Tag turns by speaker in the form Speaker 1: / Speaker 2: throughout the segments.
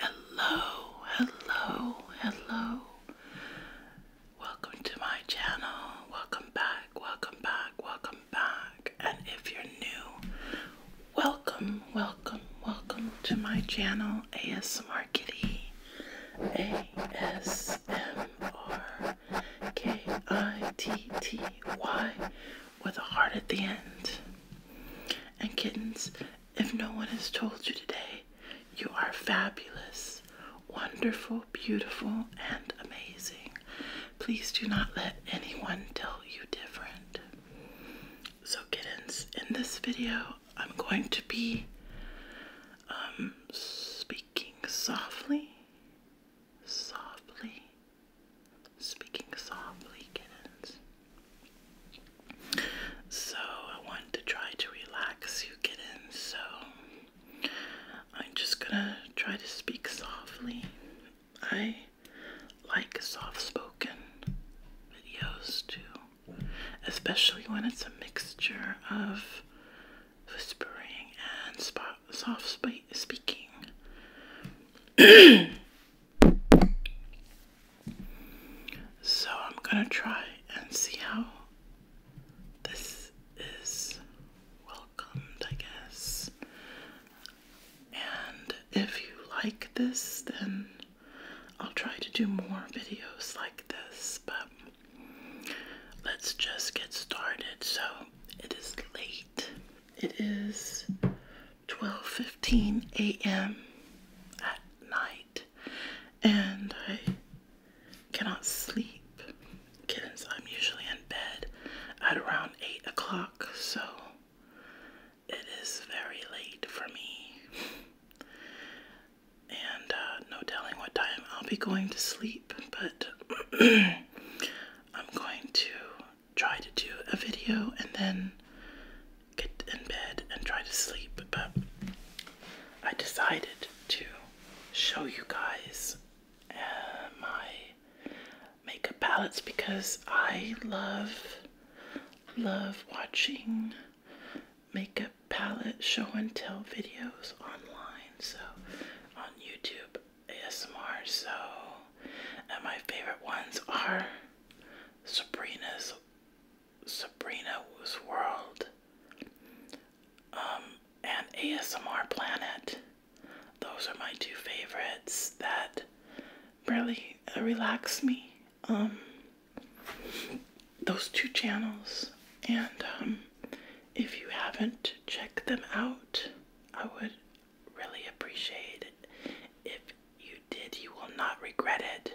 Speaker 1: Hello, hello, hello. Welcome to my channel. Welcome back, welcome back, welcome back. And if you're new, welcome, welcome, welcome to my channel, ASMR Kitty. A S M R K I T T Y with a heart at the end. And kittens, if no one has told you today, you are fabulous, wonderful, beautiful, and amazing. Please do not let anyone tell you different. So, kittens, in this video, I'm going to be um, speaking speaking softly, softly, speaking softly, kittens. So, I want to try to relax you, kittens. So, I'm just gonna try to speak softly. I like soft spoken videos too, especially when it's a mixture of whispering, and spot, soft sp speaking. so I'm gonna try and see how this is welcomed, I guess. And if you like this, then I'll try to do more videos like this, but let's just get started. So it is late. It is 12:15 a.m. at night, and I cannot sleep. Kittens, I'm usually in bed at around eight o'clock, so it is very late for me and uh, no telling what time I'll be going to sleep, but I'm going to try to do a video and then get in bed and try to sleep. But I decided to show you guys uh, my makeup palettes because I love love watching makeup palette show and tell videos online, so on YouTube ASMR. So, my favorite ones are Sabrina's Sabrina's World, um, and ASMR Planet. Those are my two favorites that really relax me. Um, those two channels. And um, if you haven't checked them out, I would really appreciate If you did, you will not regret it.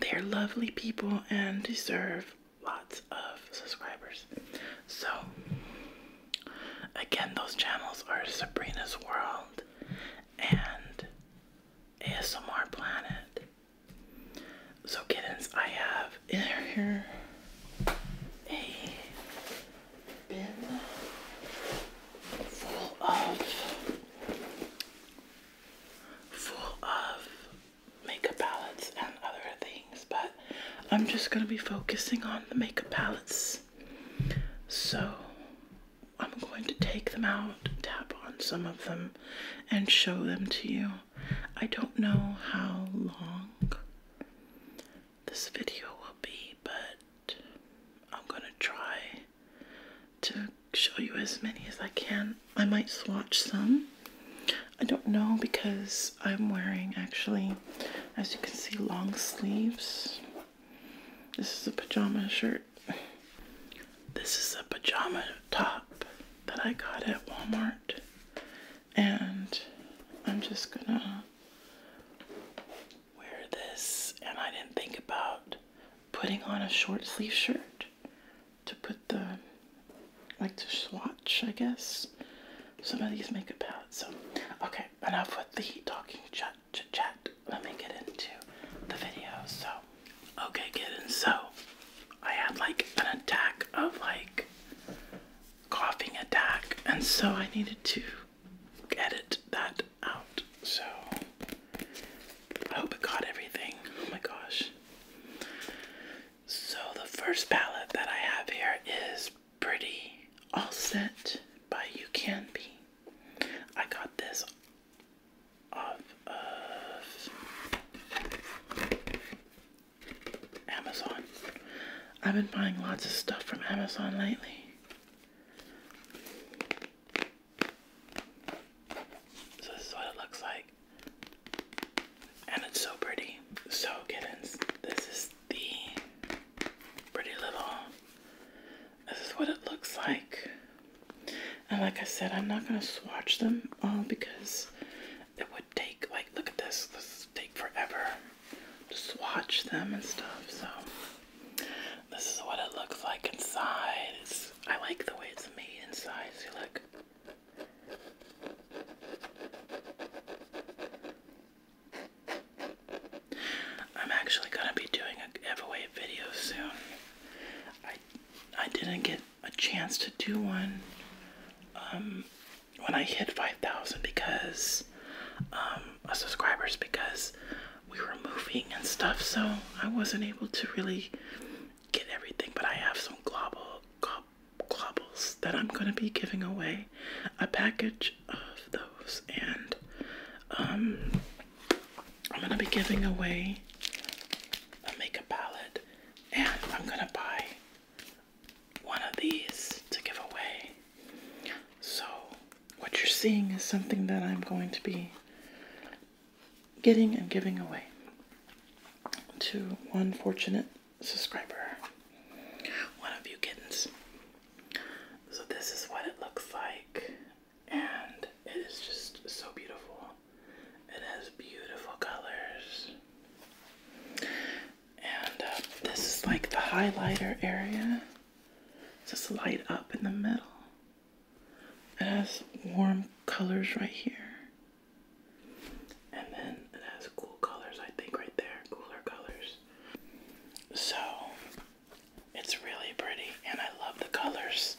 Speaker 1: They are lovely people and deserve lots of subscribers. So, again, those channels are Sabrina's World and ASMR Planet. So kittens, I have in here a bin full of full of makeup palettes and other things, but I'm just gonna be focusing on the makeup palettes. So I'm going to take them out, tap on some of them, and show them to you. I don't know how long this video will be, but I'm gonna try to show you as many as I can. I might swatch some. I don't know because I'm wearing actually, as you can see, long sleeves. This is a pajama shirt this is a pajama top that I got at Walmart. And I'm just gonna wear this. And I didn't think about putting on a short sleeve shirt to put the, like to swatch, I guess, some of these makeup palettes. So, okay, enough with the talking chat, chat, chat. Let me get into the video. So, okay, kittens, so I had like an attack of like coughing attack, and so I needed to edit that out. So I hope it caught everything. Oh my gosh. So the first palette that I have here is Pretty All Set by You Can Be. I got this off of uh, Amazon. I've been buying lots of stuff from Amazon lately. So this is what it looks like. And it's so pretty. So kittens, this is the pretty little this is what it looks like. And like I said, I'm not gonna swatch them all because it would take like look at this, this take forever to swatch them and stuff. So this is what it looks like inside. I like the way it's made inside. See look. I'm actually gonna be doing a giveaway video soon. I I didn't get a chance to do one um, when I hit 5,000 because um, subscribers because we were moving and stuff, so I wasn't able to really get everything. But I have some globble glob, globbles that I'm gonna be giving away, a package of those, and um, I'm gonna be giving away a makeup palette, and I'm gonna buy one of these to give away. So, what you're seeing is something that I'm going to be getting and giving away to one fortunate subscriber, one of you kittens. So, this is what it looks like and it is just so beautiful. It has beautiful colors. And uh, this is like the highlighter area. Just light up in the middle. It has warm colors right here. And then it has cool colors, I think, right there. Cooler colors. So, it's really pretty, and I love the colors.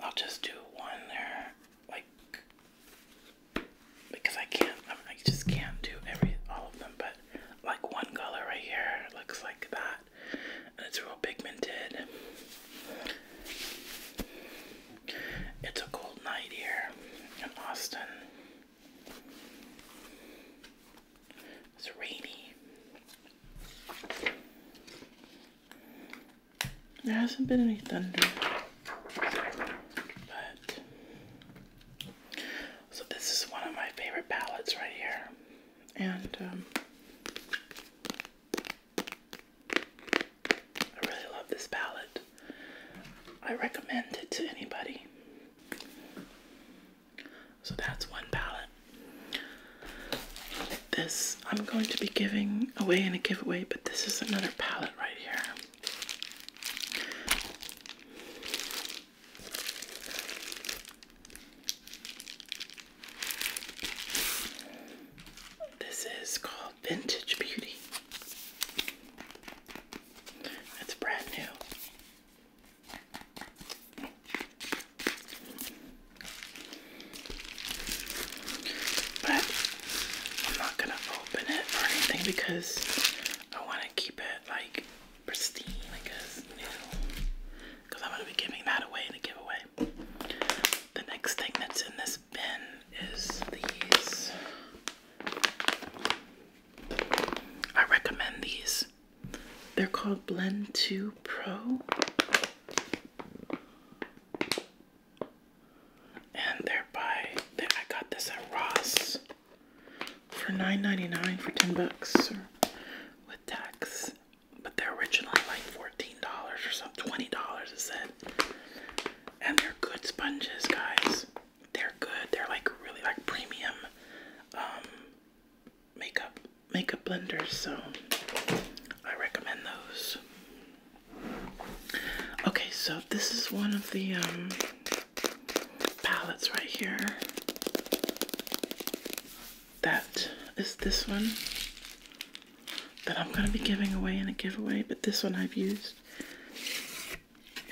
Speaker 1: I'll just do one there, like because I can't. I, just can't do every all of them, but like one color right here looks like that, and it's real pigmented. It's a cold night here in Austin. It's rainy. There hasn't been any thunder. But so this is one of my favorite palettes right here. And um, I really love this palette. I recommend it to anybody. So that's one palette. This I'm going to be giving away in a giveaway, but this is another palette right here. This is called Vintage Beauty. It's brand new. But I'm not gonna open it or anything because I want to keep it like pristine, I guess, because I'm gonna be giving that away in a giveaway. The next thing that's in this bin is these. I recommend these. They're called Blend 2 Pro. And thereby, they, I got this at Ross for 9 for 10 bucks with tax. But they're originally like $14 or something, $20 it said. And they're good sponges, guys. They're good. They're like really like premium um, makeup makeup blenders, so I recommend those. Okay, so this is one of the um, palettes right here. That is this one that I'm going to be giving away in a giveaway, but this one I've used.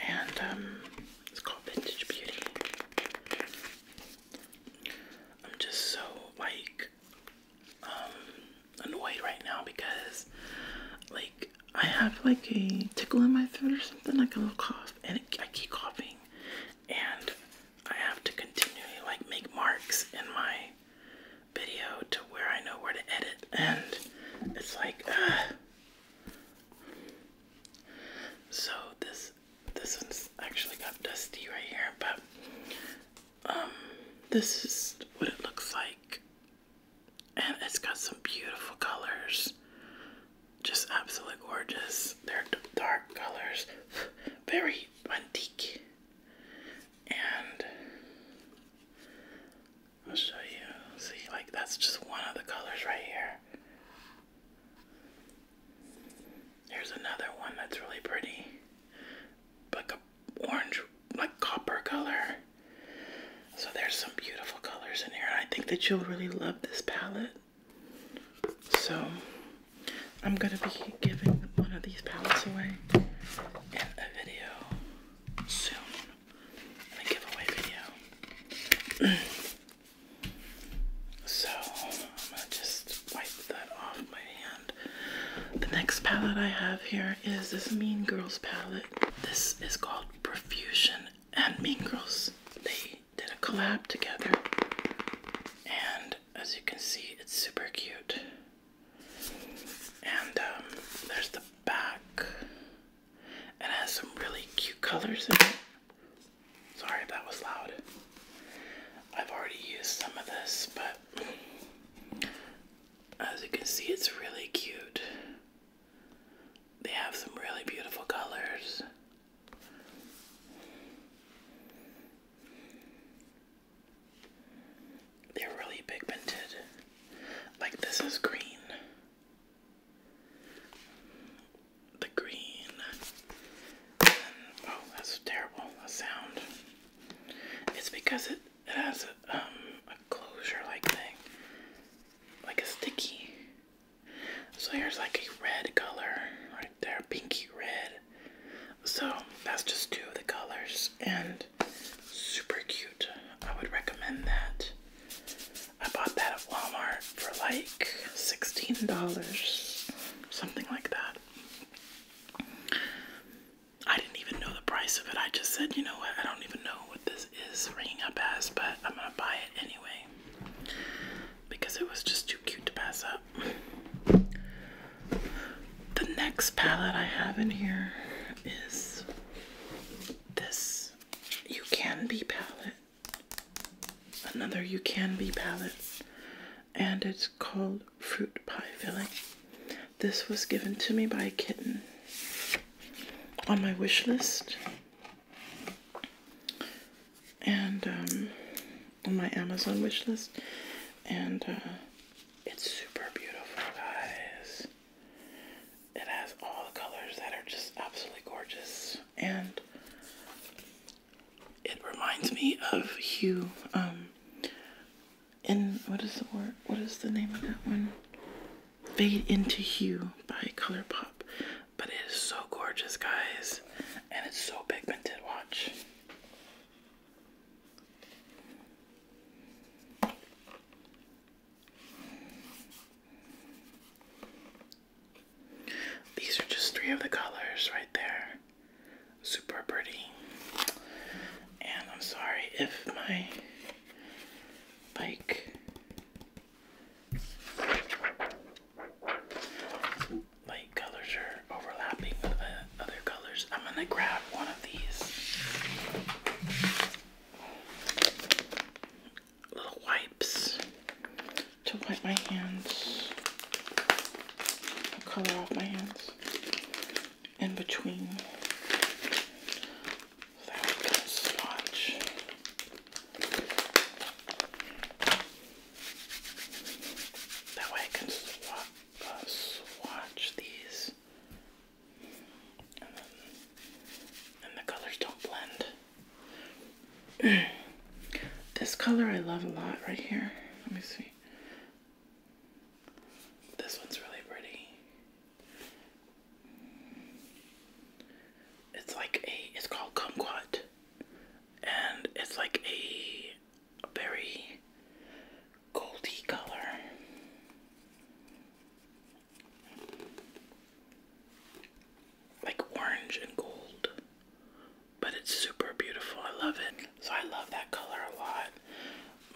Speaker 1: And um, it's called Vintage Beauty. I'm just so like like um annoyed right now because like I have like a tickle in my throat or something, like a little cough, and I keep coughing, and I have to continually like make marks in my video to where I know where to edit, and it's like, uh, so this this one's actually got dusty right here, but um, this is what it looks like, and it's got some beautiful colors, just absolutely gorgeous. They're dark colors, very antique, and I'll show you. See, like that's just one of the colors right here. Here's another one that's really pretty. Like a orange, like copper color. So there's some beautiful colors in here. I think that you'll really love this palette. So I'm gonna be giving one of these palettes away in a video soon. a giveaway video. so I'm gonna just wipe that off my hand. The next palette I have here is this Mean Girls palette. This is called Profusion and Mean Girls. They did a collab together, and as you can see, it's super cute. And um, there's the back, and it has some really cute colors in it. Sorry if that was loud. I've already used some of this, but as you can see, it's really cute. They have some really beautiful colors. They're really pigmented. Like this is green. The green. oh, that's terrible. That sound. It's because it, it has a, um, a closure like thing, like a sticky. So there's like a red color right there, pinky red. So that's just two of the colors and super cute. I would recommend that. I bought that at Walmart for like $16, something like that. I didn't even know the price of it. I just said, you know what, I don't even know what this is ringing up as, but I'm gonna buy it anyway because it was just too cute to pass up. The next palette I have in here is this You Can Be palette. Another You Can Be palette and it's called fruit pie filling. This was given to me by a kitten on my wish list and um, on my Amazon wish list, and uh, it's super beautiful, guys. It has all the colors that are just absolutely gorgeous, and it reminds me of hue. Um, and what is the word? What is the name of that one? Fade into Hue by ColourPop. But it is so gorgeous, guys, and it's so pigmented. Watch. These are just three of the colors right there super pretty. And I'm sorry if my bike light colors are overlapping with the other colors. I'm gonna grab one of these little wipes to wipe my hands color off my hands in between. that was gonna swatch. That way I can uh, swatch these. and the colors don't blend. this color I love a lot right here. Let me see. This one's really pretty. It's like a, it's called kumquat. And it's like a, very goldy color. Like orange and gold but it's super beautiful. I love it. So I love that color a lot.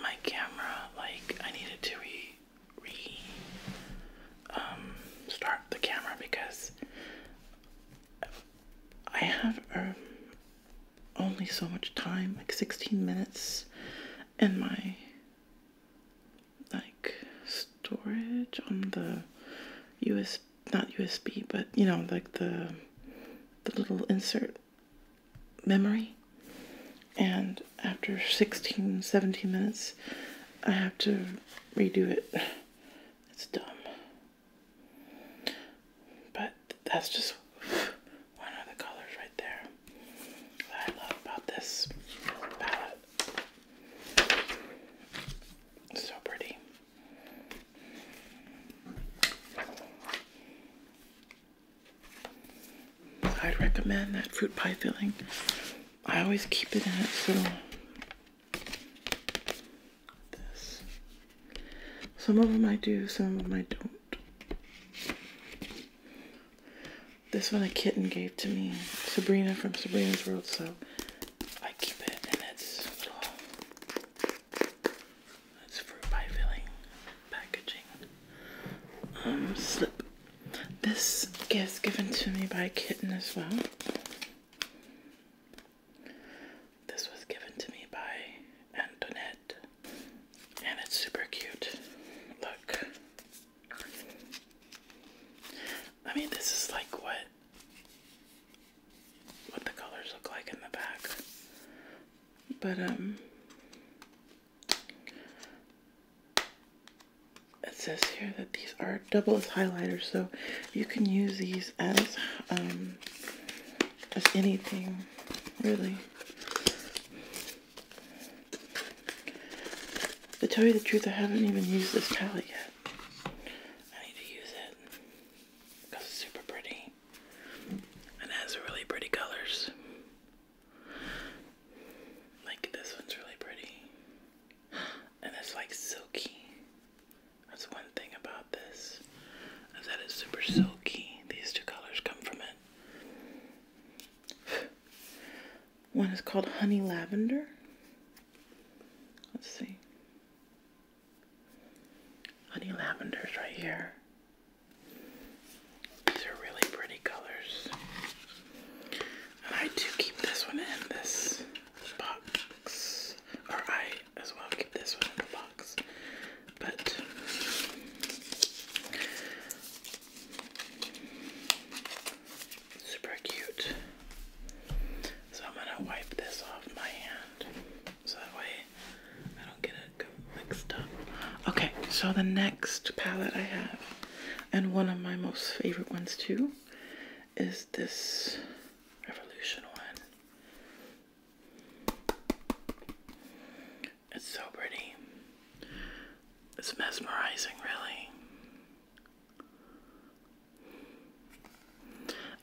Speaker 1: My camera, like, I needed to re re um start the camera because I have um, only so much time, like 16 minutes in my like storage on the USB not USB, but you know, like the the little insert memory. And after 16, 17 minutes, I have to redo it. It's dumb. But that's just one of the colors right there that I love about this palette. So pretty. I'd recommend that fruit pie filling. I always keep it in it. So Some of them I do, some of them I don't. This one a kitten gave to me, Sabrina from Sabrina's World, so I keep it in its that's fruit pie filling packaging. Um, slip. This gift given to me by Kitten as well. This was given to me by Antoinette, and it's super cute. Look. I mean, this is like what what the colors look like in the back. But, um, it says here that these are double as highlighters, so you can use these as, um, as anything, really. To tell you the truth, I haven't even used this palette yet. I need to use it because it's super pretty me and has really pretty colors. Like this one's really pretty. And it's like silky. That's one thing about this. Is super silky. These two colors come from it. One is called honey lavender. Let's see. Honey lavenders right here. These are really pretty colors. And I do keep this one in this box. Or I as well keep this one in the box. But super cute. So I'm going to wipe this off my hand so that way I don't get it mixed up. Okay, so the next palette I have, and one of my most favorite ones too, is this Revolution one. It's so pretty. It's mesmerizing, really.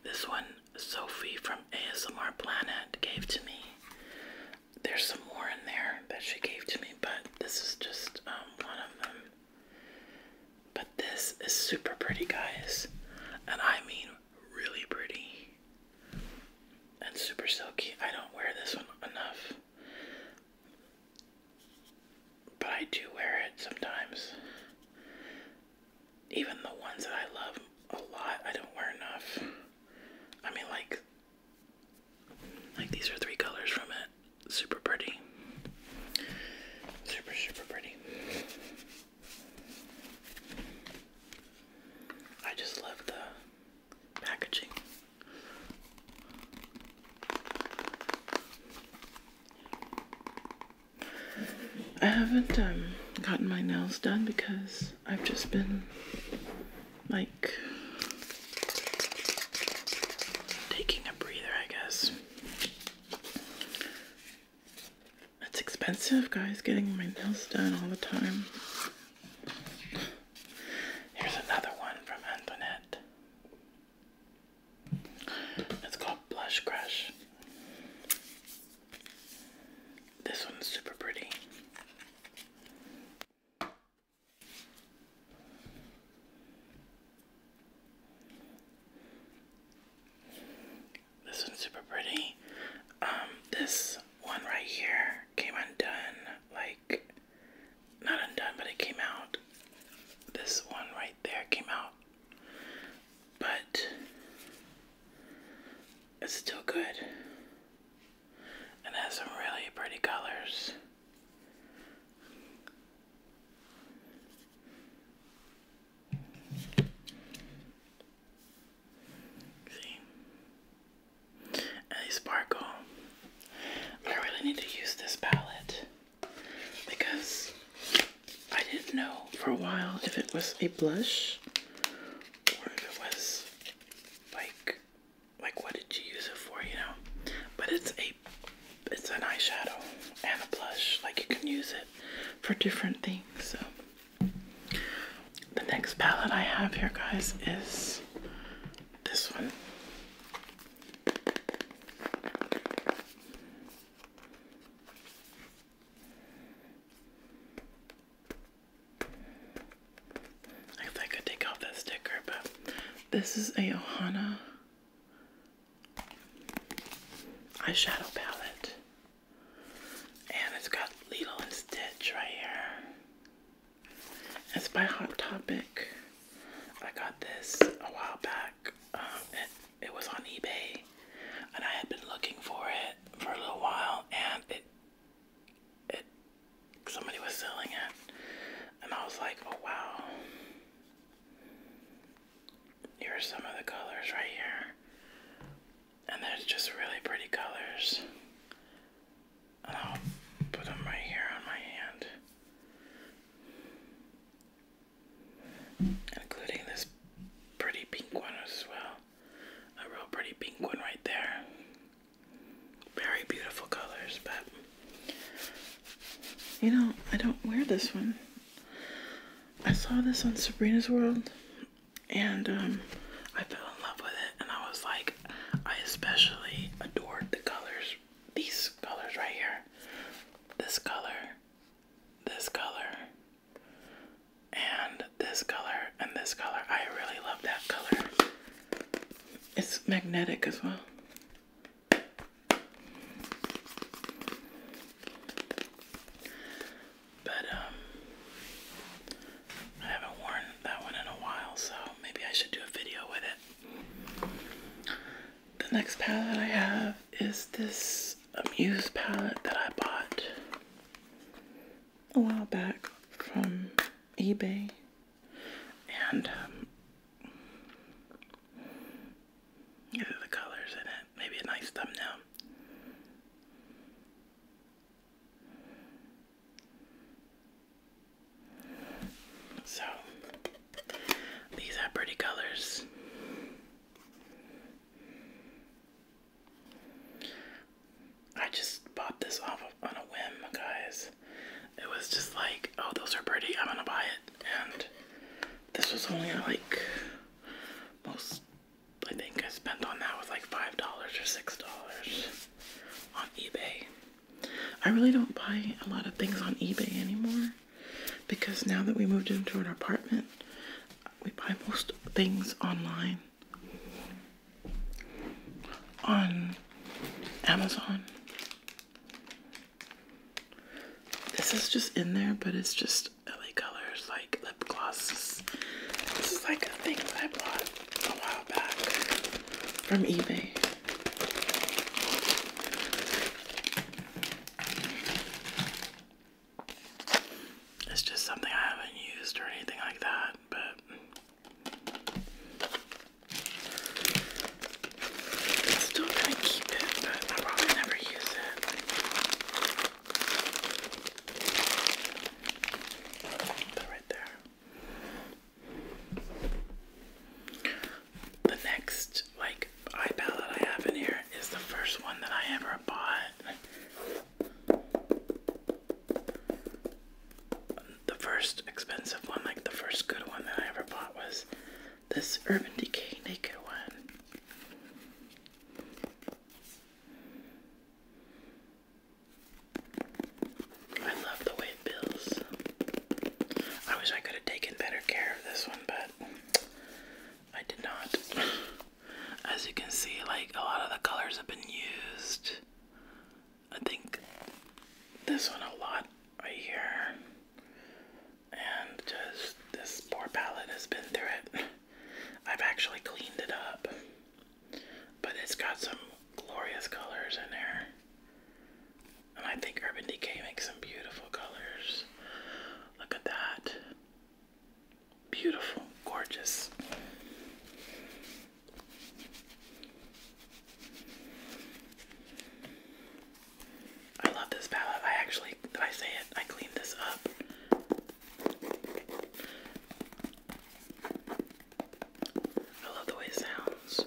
Speaker 1: This one Sophie from ASMR Planet gave to me. There's some more in there that she gave to me, but this is just um, one of them. But this is super pretty, guys. And I mean, really pretty. And super silky. I don't wear this one enough. But I do wear it sometimes even the ones that I love a lot, I don't wear enough. I mean, like, like these are three colors from it. Super pretty. Super, super pretty. I just love the packaging. I haven't um, gotten my nails done because I've just been like taking a breather, I guess. It's expensive, guys, getting my nails done all the time. Here's another one from Antoinette. It's called Blush Crush. This one's super pretty. This one's super pretty. Um, this one right here came undone, like not undone, but it came out. This one right there came out, but it's still good. And has some really pretty colors. See? they sparkle. I really need to use this palette because I didn't know for a while if it was a blush or if it was like like what did you use it for, you know? But it's a it's an eyeshadow and a blush. Like you can use it for different things. So the next palette I have here guys is this one. I I could take off that sticker, but this is a Ohana eyeshadow palette. And it's got Lilo and Stitch right here. It's by Hot Topic. I got this a while back. Um, it was on eBay and I had been looking for it for a little while and it it somebody was selling it and I was like, oh wow. Here are some of the colors right here. And there's just really pretty colors. I'll put them right here on my hand. Including this pretty pink one as well a real pretty pink one right there. Very beautiful colors, but you know, I don't wear this one. I saw this on Sabrina's World and um, I fell in love with it and I was like, I especially adored the colors, these colors right here. This color, this color, and this color and this color. I really love that color. It's magnetic as well. But um I haven't worn that one in a while, so maybe I should do a video with it. The next palette I have is this a muse palette that I bought a while back from eBay. And these um, are the colors in it. Maybe a nice thumbnail. So, these are pretty colors. I just bought this off on a whim, guys. It was just like, oh, those are pretty. I'm gonna buy it. And this was only like most. I think I spent on that was like five dollars or six dollars on eBay. I really don't buy a lot of things on eBay anymore because now that we moved into an apartment, we buy most things online on Amazon. This is just in there, but it's just LA colors like lip glosses. This is like a thing that I bought a while back from eBay. It's just something I haven't used or anything like that, but I'm still gonna keep it, but I'll probably never use it. Put right there. The next like eye palette I have in here is the first one that I ever bought the first expensive one, like the first good one that I ever bought was this Urban Decay Naked one. I love the way it feels. I wish I could have taken better care of this one, but I did not. As you can see, like a lot of the colors have been used. I think this one a lot right here. And just this poor palette has been through it. I've actually cleaned it up. But it's got some glorious colors in there. And I think Urban Decay makes some beautiful colors. Look at that. Beautiful, gorgeous. I love this palette. I actually, did I say it? I cleaned this up. I love the way it sounds.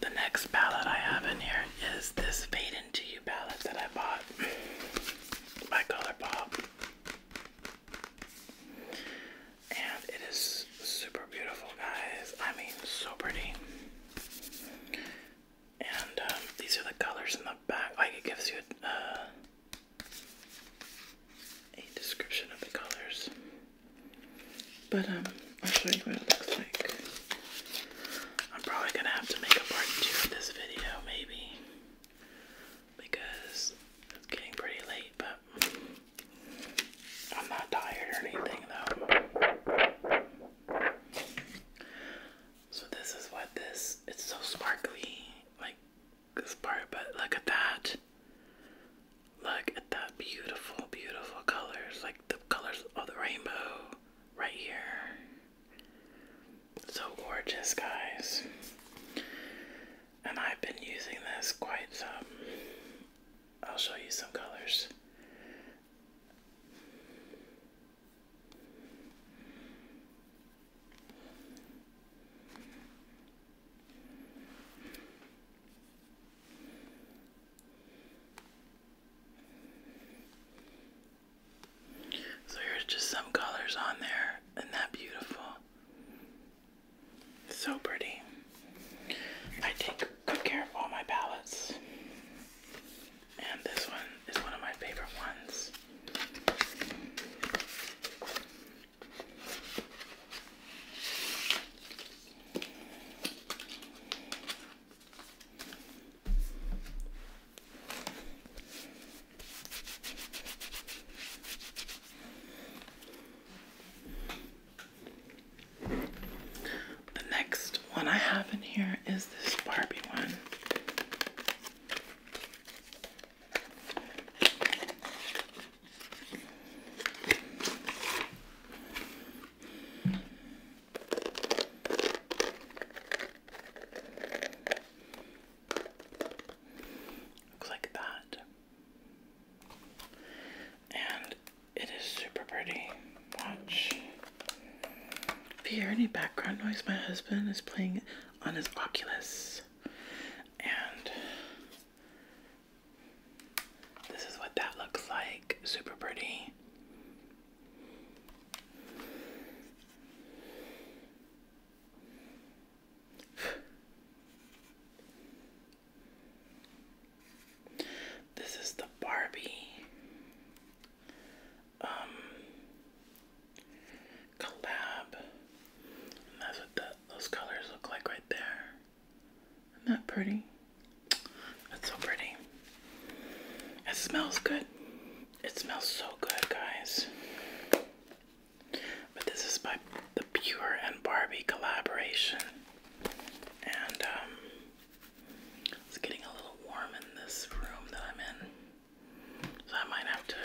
Speaker 1: The next palette I have in here is this Fade Into You palette that I bought by ColourPop and it is super beautiful, guys. I mean, so pretty. And um, these are the colors in the back. Like it gives you uh, a description of the colors. But um, I'll show you what it looks like. I'm probably gonna have to make a part two of this video, maybe, because it's getting pretty late. But I'm not tired or anything though. So this is what this it's so sparkly like this part but look at that. Look at that beautiful beautiful colors like the colors of the rainbow right here. So gorgeous guys. And I've been using this quite some. I'll show you some colors. So here's just some colors on there. Isn't that beautiful? So pretty. I take good care of all my palettes. And this one is one of my favorite ones. The next one I have in here is this Barbie one. Looks like that. And it is super pretty. Watch. If you hear any background noise, my husband is playing on his Oculus. And this is what that looks like. Super pretty. This is the Barbie um collab. that's what those colors look like right there. Isn't that pretty? That's so pretty. It smells good. It smells so good, guys. But this is by the Pure and Barbie collaboration. And um it's getting a little warm in this room that I'm in. So I might have to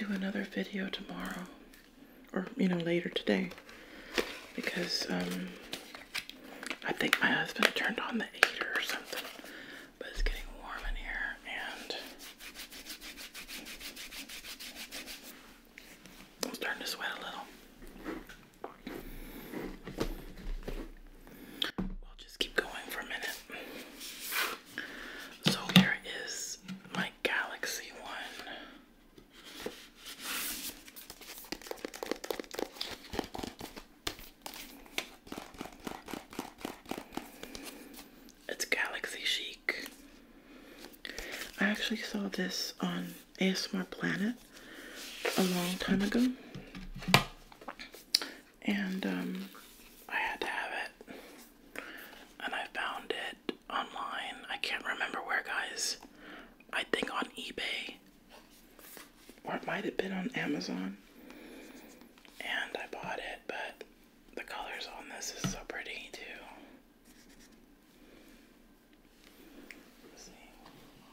Speaker 1: do another video tomorrow or you know later today because um I think my husband turned on the heater or something. But it's getting warm in here and I'm starting to sweat a little. We'll just keep going for a minute. So here is my Galaxy one. It's Galaxy Chic. I actually saw this on ASMR Planet a long time ago, and um, I had to have it. And I found it online. I can't remember where, guys. I think on eBay, or it might have been on Amazon. And I bought it, but the colors on this is so pretty too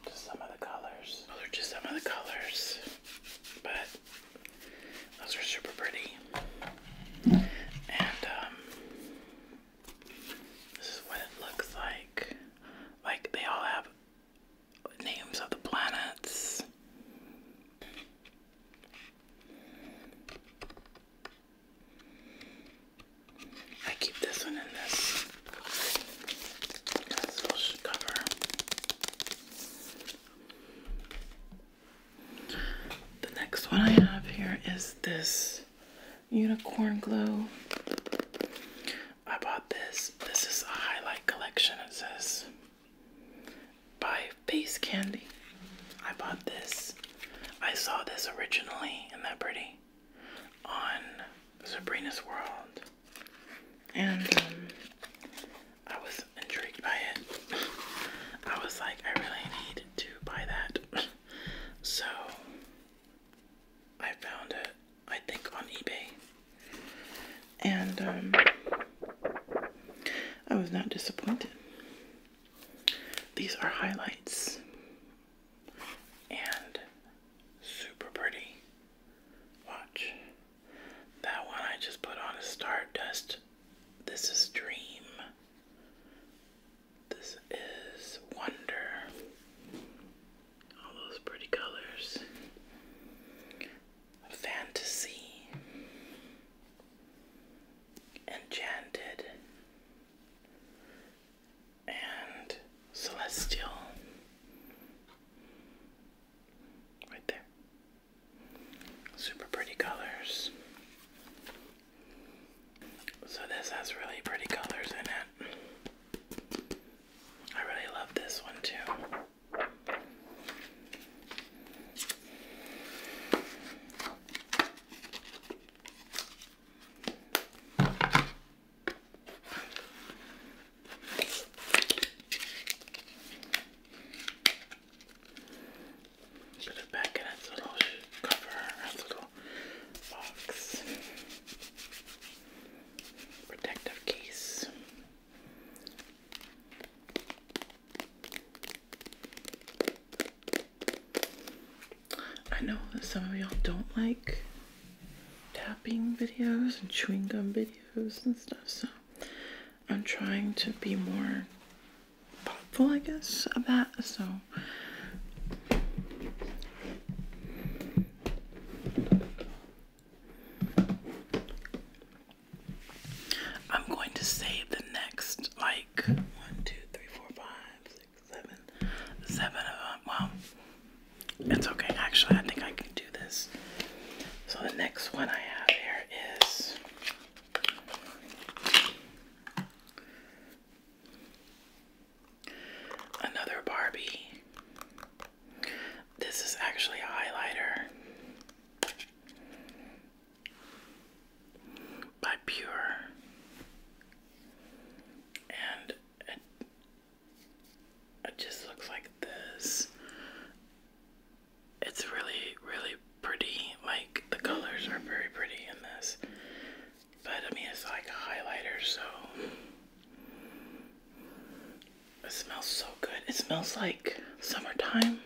Speaker 1: just some of the colors. Those are just some of the colors, but those are super pretty. And um, this is what it looks like. Like they all have names of the planets. I keep this one in this this cover. The next one I have here is this unicorn glow. I bought this. This is a highlight collection. It says by Face Candy. I bought this. I saw this originally, is that pretty? On Sabrina's World. And um, I was intrigued by it. I was like, I really need to buy that. so I found it, I think, on eBay. And um, I was not disappointed. These are highlights and super pretty. Watch. That one I just put on is Stardust. This is Dream. This is Wonder. All those pretty colors. Fantasy enchanted, and celestial. Right there. Super pretty colors. So, this has really pretty colors in it. I really love this one too. Put it back in its little cover, its little box, protective case. I know that some of y'all don't like tapping videos and chewing gum videos and stuff, so I'm trying to be more thoughtful, I guess, about that. So, I'm going to save the next like one, two, three, four, five, six, seven, seven of them. Well, it's okay. Actually, I think I can do this. So the next one I have here is another Barbie. This is actually a highlighter by Pure, and it, it just looks like this. It's really, really pretty. Like the colors are very pretty in this, but I mean, it's like a highlighter, so it smells so good. It smells like summertime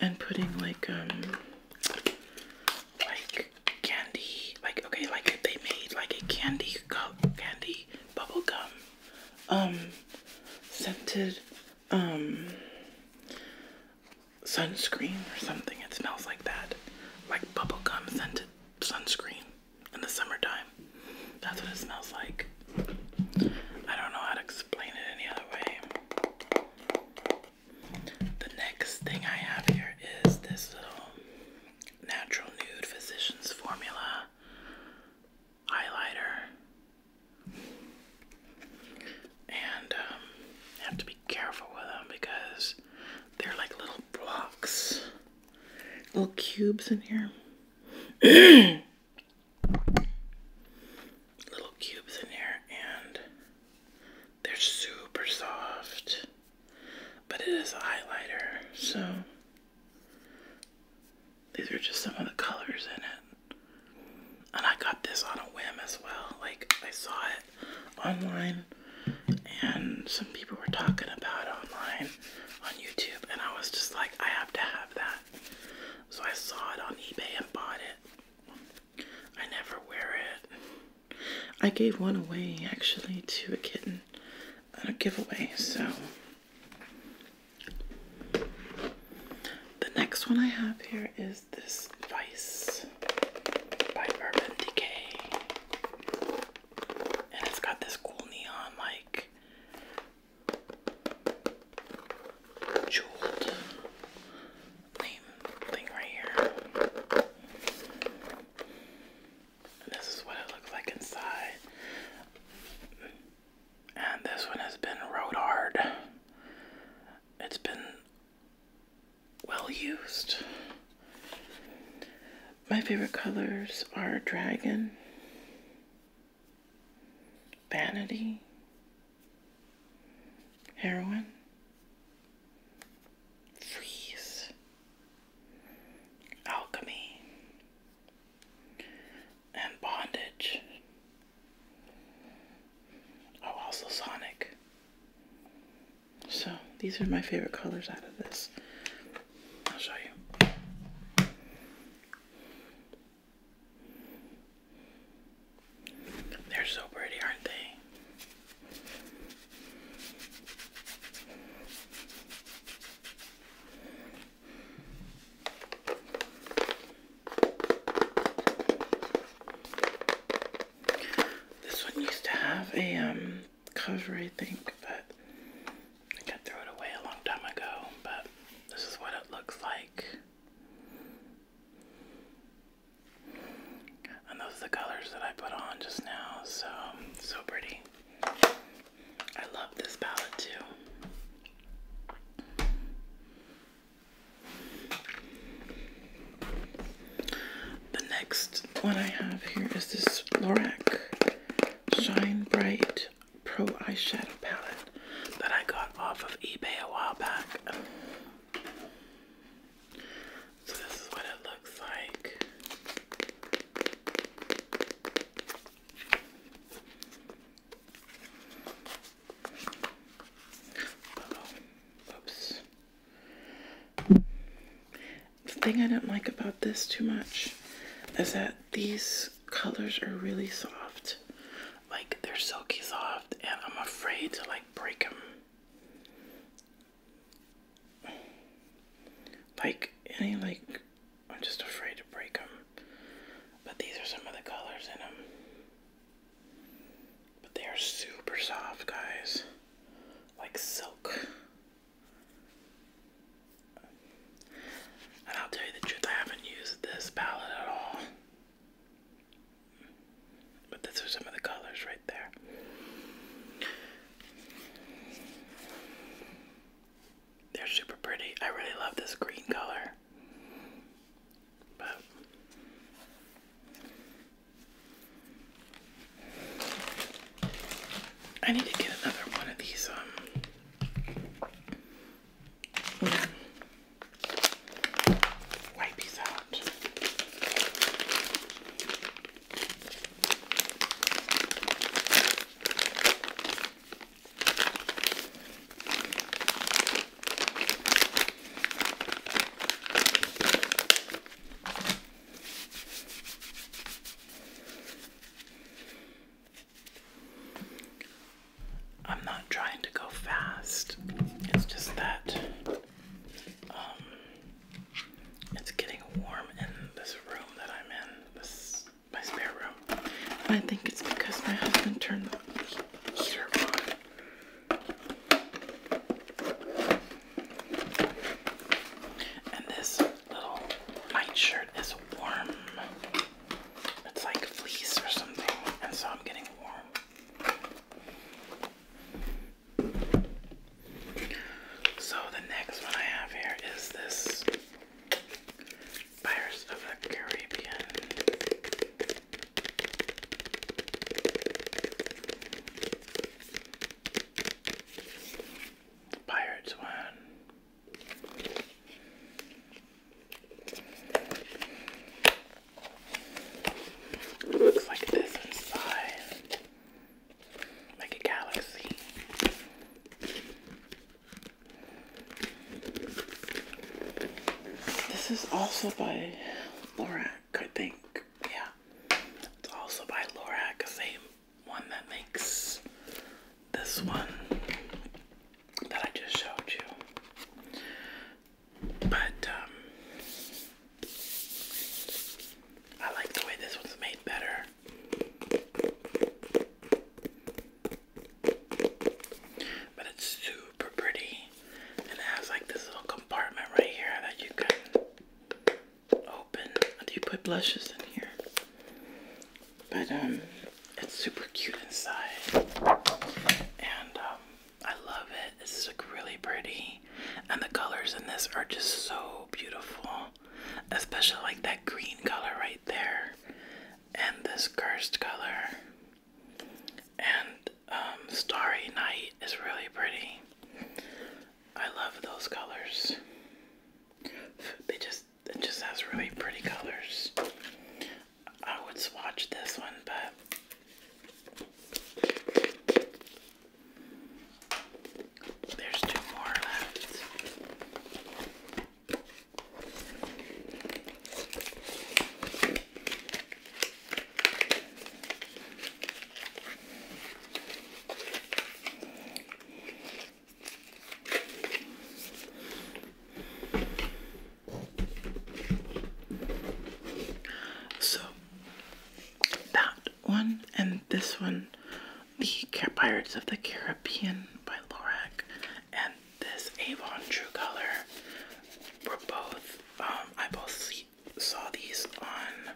Speaker 1: and putting like um like candy like okay like they made like a candy cup candy bubble gum um scented um sunscreen or something it smells like that like bubble gum scented sunscreen in the summertime that's what it smells like I don't know how to explain it any other way the next thing I have here is this little natural nude physician's formula highlighter, and um, have to be careful with them because they're like little blocks, little cubes in here. little cubes in here and they're super soft, but it is a highlighter, so these are just some of the colors in it. And I got this on a whim as well. Like, I saw it online, and some people were talking about it online on YouTube, and I was just like, I have to have that. So I saw it on eBay and bought it. I never wear it. I gave one away actually to a kitten at a giveaway, so the next one I have here is this Vice by Urban Decay. And it's got this cool neon like jeweled thing right here. this is what it looks like inside. And this one has been rode hard. It's been well used. My favorite colors are dragon, vanity, Heroin. Freeze. Alchemy. And bondage. Oh, also Sonic. So, these are my favorite colors out of this. I'll show you. They're so pretty, aren't they? This one used to have a um, cover, I think, but I got throw it away a long time ago. But this is what it looks like. And those are the colors that I put on just now. So, so pretty. I love this palette too. The next one I have here is this Lorac Shine Bright Pro Eyeshadow Palette that I got off of eBay a while back. So this is what it looks like. Oops. The thing I do not like about this too much is that these colors are really soft. Like they're silky soft and I'm afraid to like break them. Like any like, I'm just afraid to break them. But these are some of the colors in them. But they are super soft, guys. Like silk. And I'll tell you the truth, I haven't used this palette at all. But those are some of the colors right there. They're super pretty. I really love this green color. But I need to get another one of these um Wipe these out. I'm not trying to go fast. It's just that um, it's getting warm in this room that I'm in, this my spare room. I think it's because my husband turned the heater on. And this little nightshirt is warm. It's like fleece or something, and so I'm getting warm. So the next one I have here is this Pirates of the Caribbean. Pirates one. It looks like this inside. Like a galaxy. This is also by Lorac, I think. Yeah. It's also by Lorac, same one that makes this one that I just showed you. But um I like the way this one's made better. But it's super pretty. And it has like this little compartment right here that you can open. Do you put blushes in here? But um it's super cute inside. And um I love it. This is like really pretty, and the colors in this are just so beautiful, especially like that green color right there, and this cursed color, and um, Starry Night is really pretty. I love those colors. They just it just has really pretty colors. I would swatch this one, but there's two more left. So that one and this one, the Pirates of the Caribbean by Lorac, and this Avon True Color were both. Um, I both saw these on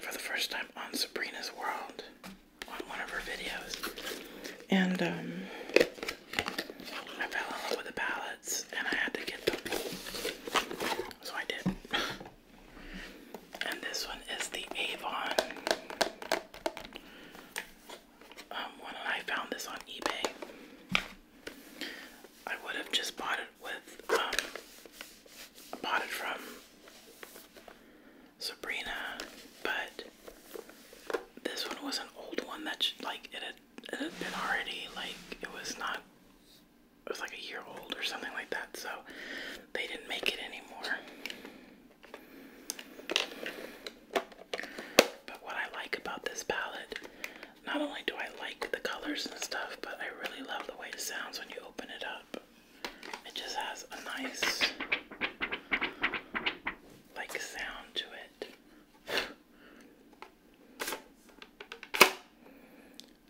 Speaker 1: for the first time on Sabrina's World on one of her videos, and um, I fell in love with the palette and I had to get them. So I did. and this one is the Avon. Um, I found this on eBay, I would have just bought it with, um, bought it from Sabrina, but this one was an old one that, like, it it had been already like it was not it was like a year old or something like that, so they didn't make it anymore. But what I like about this palette, not only do I like the colors and stuff, but I really love the way it sounds when you open it up. It just has a nice like sound to it.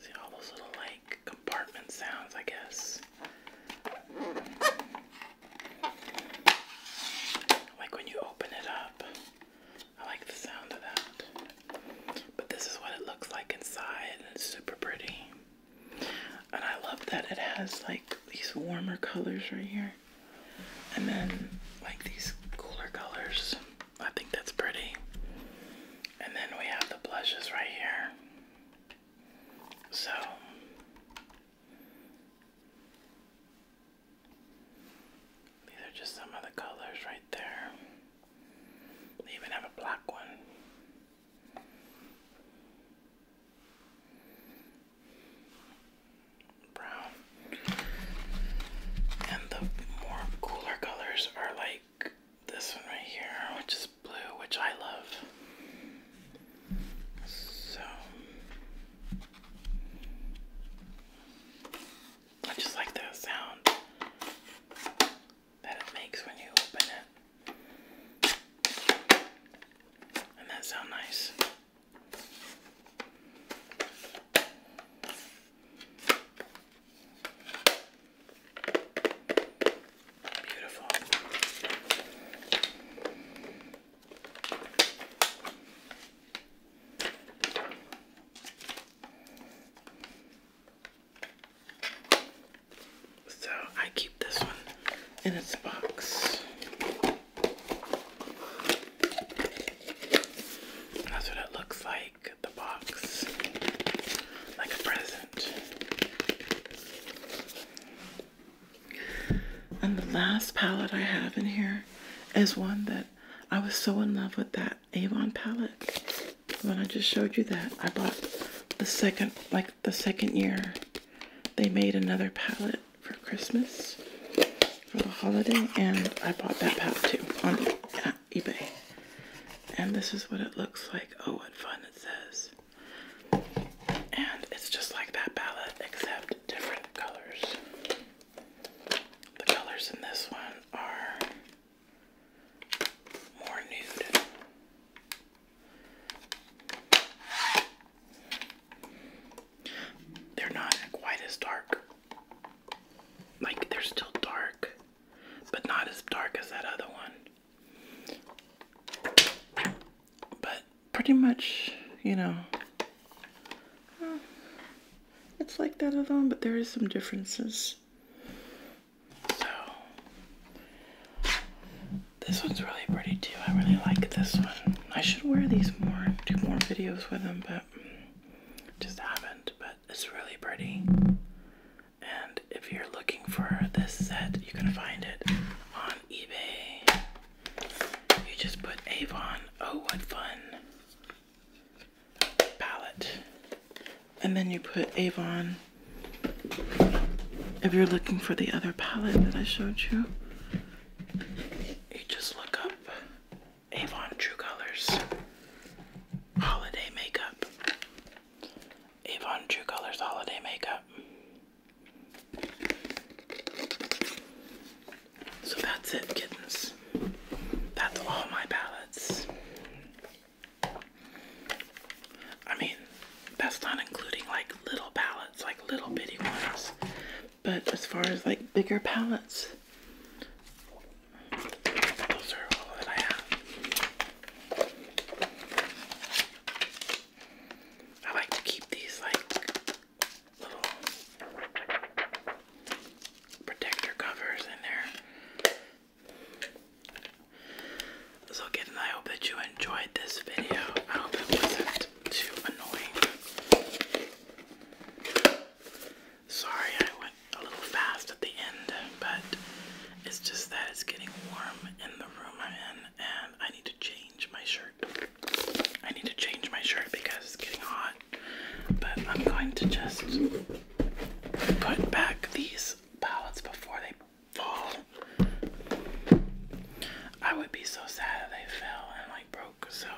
Speaker 1: See all those little like compartment sounds, I guess. Like when you open it up. I like the sound of that. But this is what it looks like inside, it's super pretty. And I love that it has like these warmer colors right here. And then like these cooler colors. I think that's pretty. And then we have the blushes right here. So these are just some of the colors right there. They even have a black one brown. And the more cooler colors are like this one right here, which is blue, which I love. So I just like the sound that it makes when you open it. And that sound nice. Beautiful. So I keep this one in its box. That's what it looks like, the box. Like a present. And the last palette I have in here is one that I was so in love with that Avon palette. When I just showed you that, I bought the second, like the second year, they made another palette for Christmas for the holiday, and I bought that pack too on eBay. And this is what it looks like. Oh, what fun it says. And it's just like that palette, except different colors. The colors in this one are more nude. They're not quite as dark. Like they're still dark, but not as dark as that other one. But pretty much, you know, uh, it's like that other one, but there is some differences. So this one's really pretty too. I really like this one. I should wear these more, do more videos with them, but just have but it's really pretty. And if you're looking for this set, you can find it on eBay. You just put Avon, oh what fun palette. And then you put Avon. If you're looking for the other palette that I showed you, you just look up Avon True Colors Holiday Makeup. Avon True Colors Holiday Makeup. So that's it, kittens. That's all my palettes. I mean, that's not including like little palettes, like little bitty ones. But as far as like bigger palettes, I like to keep these like little protector covers in there. So again, I hope that you enjoyed this video. I hope it wasn't too annoying. Sorry I went a little fast at the end, but it's just that it's getting warm in the room I'm in and I need to change my shirt. I need to change my shirt because it's getting hot. But I'm going to just put back these palettes before they fall. I would be so sad if they fell and like broke, so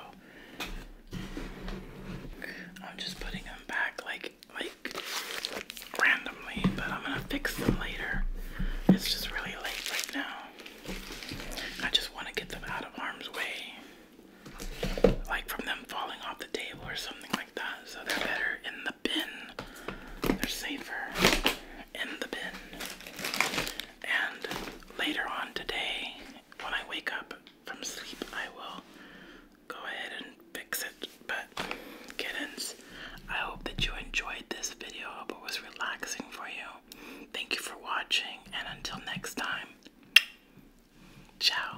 Speaker 1: I'm just putting them back like like randomly, but I'm gonna fix them later. It's just really late right now. I just want to get them out of harm's way, like from them falling off the table or something like that. So they're better in the bin. They're safer in the bin. And later on today, when I wake up from sleep, I will go ahead and fix it. But, kittens, I hope that you enjoyed this video. I hope it was relaxing for you. Thank you for watching, and until next time, ciao.